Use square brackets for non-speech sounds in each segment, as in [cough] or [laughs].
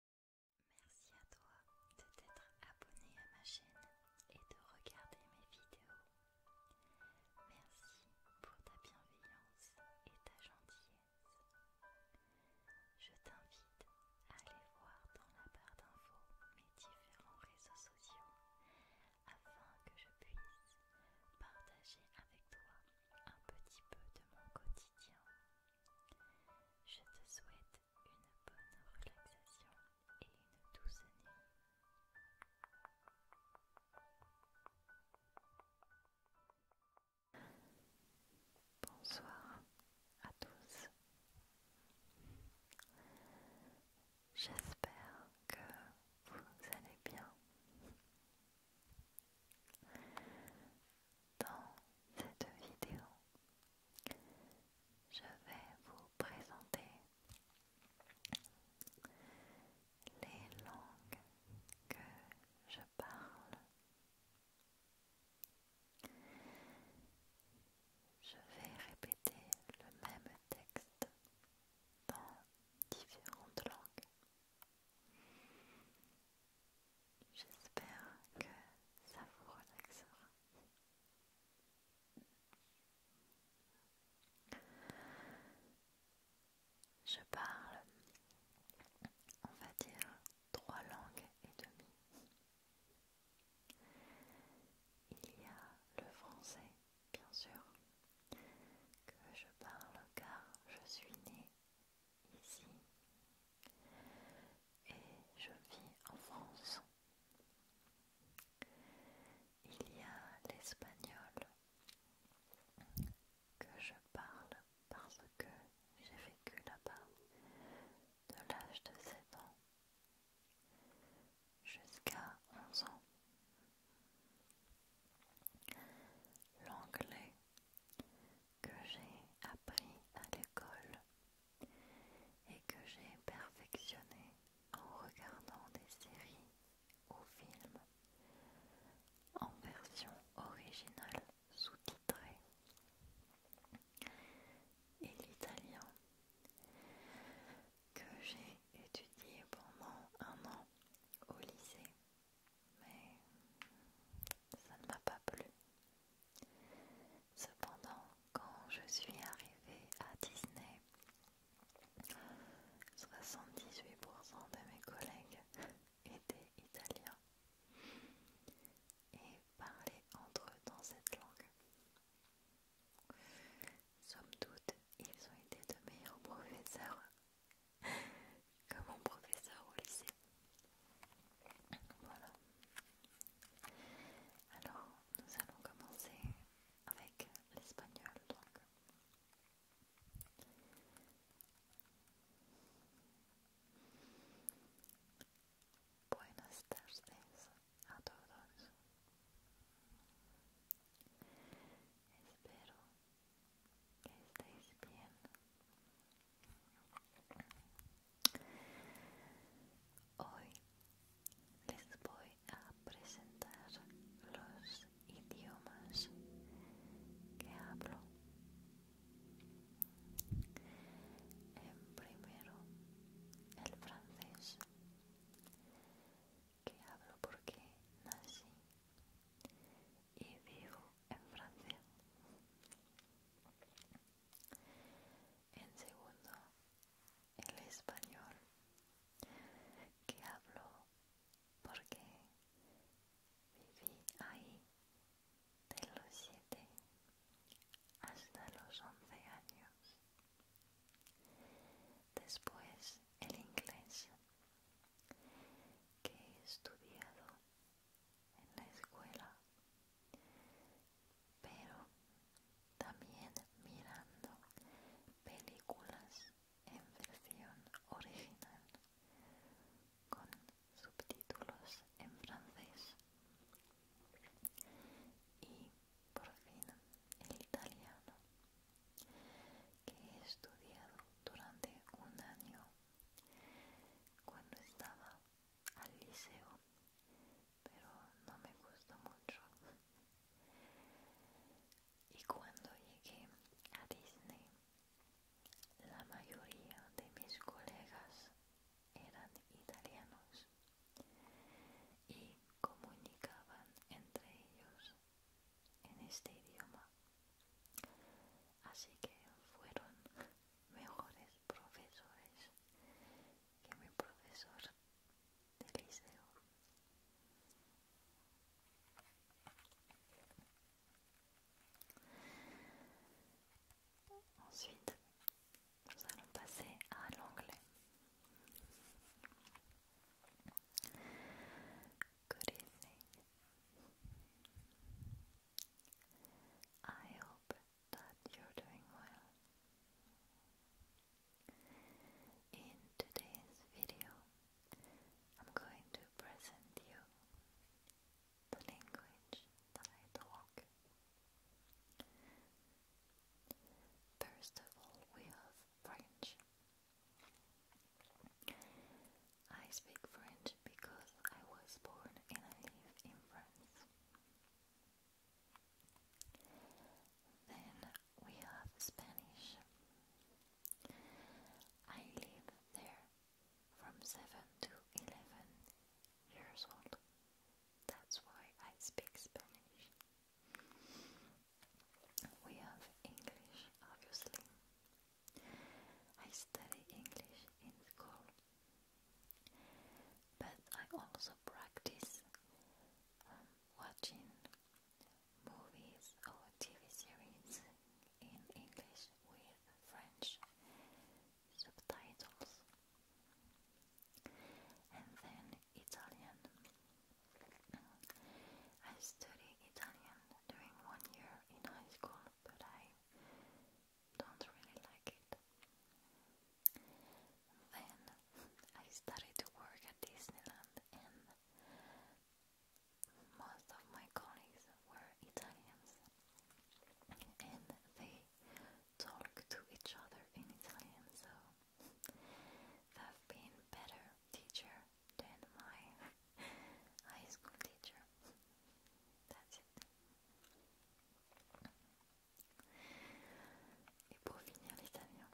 Merci à toi de t'être abonné à ma chaîne et de regarder mes vidéos. Merci pour ta bienveillance et ta gentillesse. Je t'invite à aller voir dans la barre d'infos mes différents réseaux sociaux afin que je puisse partager avec toi un petit peu de mon quotidien je te souhaite une bonne relaxation et une douce nuit. Bonsoir à tous. J'espère que vous allez bien. Dans cette vidéo, je vais vous présenter les langues que je parle. Je vais répéter le même texte dans différentes langues J'espère que ça vous relaxera. Je parle, on va dire, trois langues et demie. Il y a le français, bien sûr, que je parle car je suis née ici et je vis en France. Il y a l'espagnol que je parle parce que j'ai vécu là-bas de l'âge de 7 ans jusqu'à 11 ans. L'anglais que j'ai appris à l'école et que j'ai perfectionné en regardant des séries ou films en version originale sous-titrée. Et l'italien que j'ai étudié pendant un an au lycée mais ça ne m'a pas plu. Cependant, quand je suis arrivée à Disney, 78% de mes collègues étaient italiens et parlaient entre eux dans cette langue. Somme toute, ils ont été de meilleurs professeurs Comme mon professeur au lycée. Voilà. Alors, ah, nous allons commencer avec l'espagnol. Donc. Buenas tardes a todos. Espero bien. Hoy les voy a presentar los idiomas que hablo. En primero, el francés, que hablo porque nací y vivo en Francia. En segundo, el español que hablo porque viví ahí de los siete hasta los 11 años. Después el inglés que he estudiado en la escuela, pero también mirando películas en versión original con subtítulos en francés y por fin en italiano que he estudiado durante un año cuando estaba al liceo, pero no me gustó mucho. Y cuando llegué a Disney, la mayoría de mis colegas eran italianos y comunicaban entre ellos en este idioma. Así que fueron [laughs] mejores profesores que mi profesor de liceo. Ensuite, oh, nous allons passer à l'anglais. Good evening. I hope that you're doing well. In today's video, I'm going to present you the language that I talk. First of all, we have French. I speak French because I was born and I live in France. Then we have Spanish. I live there from 7 to 11 years old. That's why I speak Spanish. We have English, obviously. I study English in school, but I also practice um, watching movies or TV series in English with French subtitles. And then Italian. I studied Italian during one year in high school, but I don't really like it. Then I started to work at Disneyland, and most of my colleagues were Italians, and they talk to each other in Italian, so have been better teacher than my high school teacher. That's it. Et pour finir l'italien.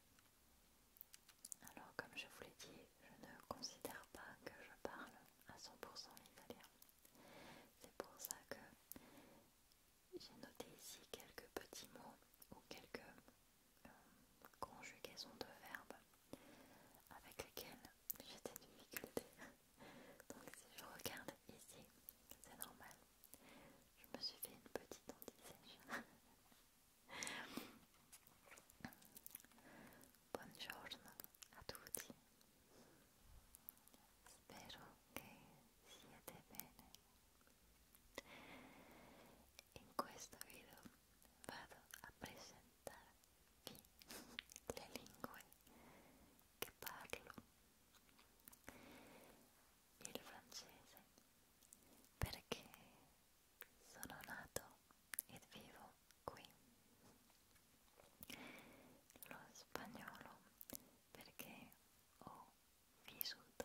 Alors comme je vous l'ai dit, je ne considère pas que je parle à 100% l'italien. C'est pour ça que j'ai noté ici quelques petits mots ou quelques euh, conjugaison de verbes avec lesquels j'ai des difficultés. [laughs] Donc si je regarde ici, c'est normal. Je me suis fait une petite anti [laughs] Bonjour à a tutti. Spero che siete bene. in questo video vado a presentarvi [laughs] le lingue che parlo il francese perché sono nato ed vivo qui lo spagnolo perché ho vissuto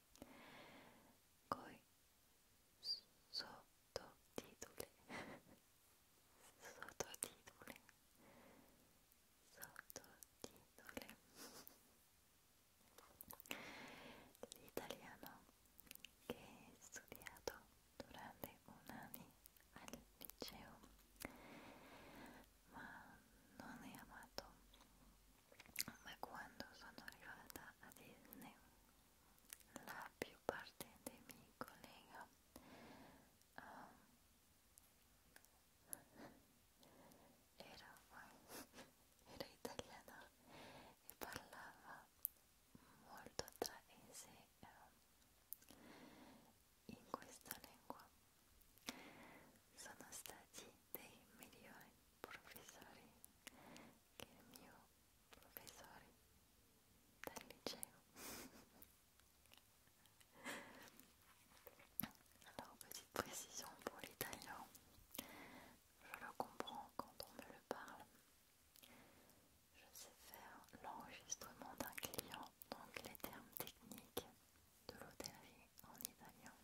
coi sottotitoli [laughs] sottotitoli sottotitoli l'italiano che è studiato durante un anno al liceo ma non è amato ma quando sono arrivata a Disney la più parte dei miei colleghi um, era, [laughs] era italiana e parlava molto tra sé um, in questa lingua Sono stati dei migliori professori che il mio professore del liceo. Alors, petite précision pour l'italien, je le comprends quand on me le parle. Je sais faire l'enregistrement d'un client, donc les termes techniques, de l'hôtellerie en italien.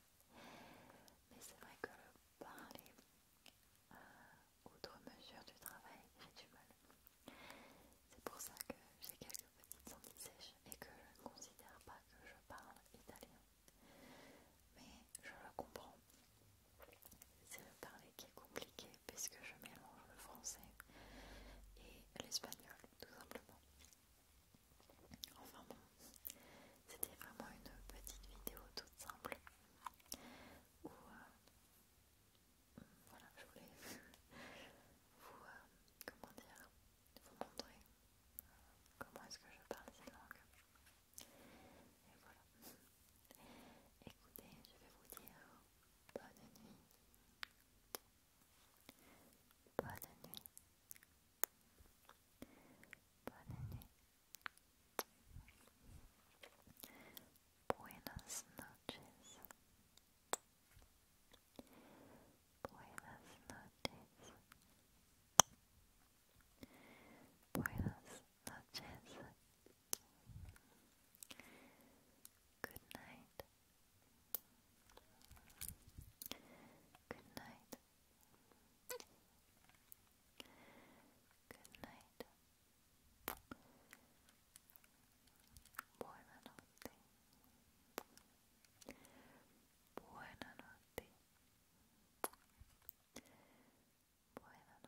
Mais c'est vrai que le parler, à euh, outre mesure du travail, j'ai du mal. C'est pour ça que j'ai quelques petites senties sèches et que je ne considère pas que je parle italien. Mais je le comprends. C'est le parler qui est compliqué puisque je mélange le français et l'espagnol tout simplement. Enfin bon, c'était vraiment une petite vidéo toute simple où euh, voilà, je voulais [laughs] vous, euh, comment dire, vous montrer euh, comment est-ce que je parle ces langues. Et voilà. Écoutez, je vais vous dire bonne nuit. Bonne nuit. Buenas Buenas noches. Buenas noches. Buenas Good night. Good night. Good night. Buonanotte. Buonanotte. Buonanotte.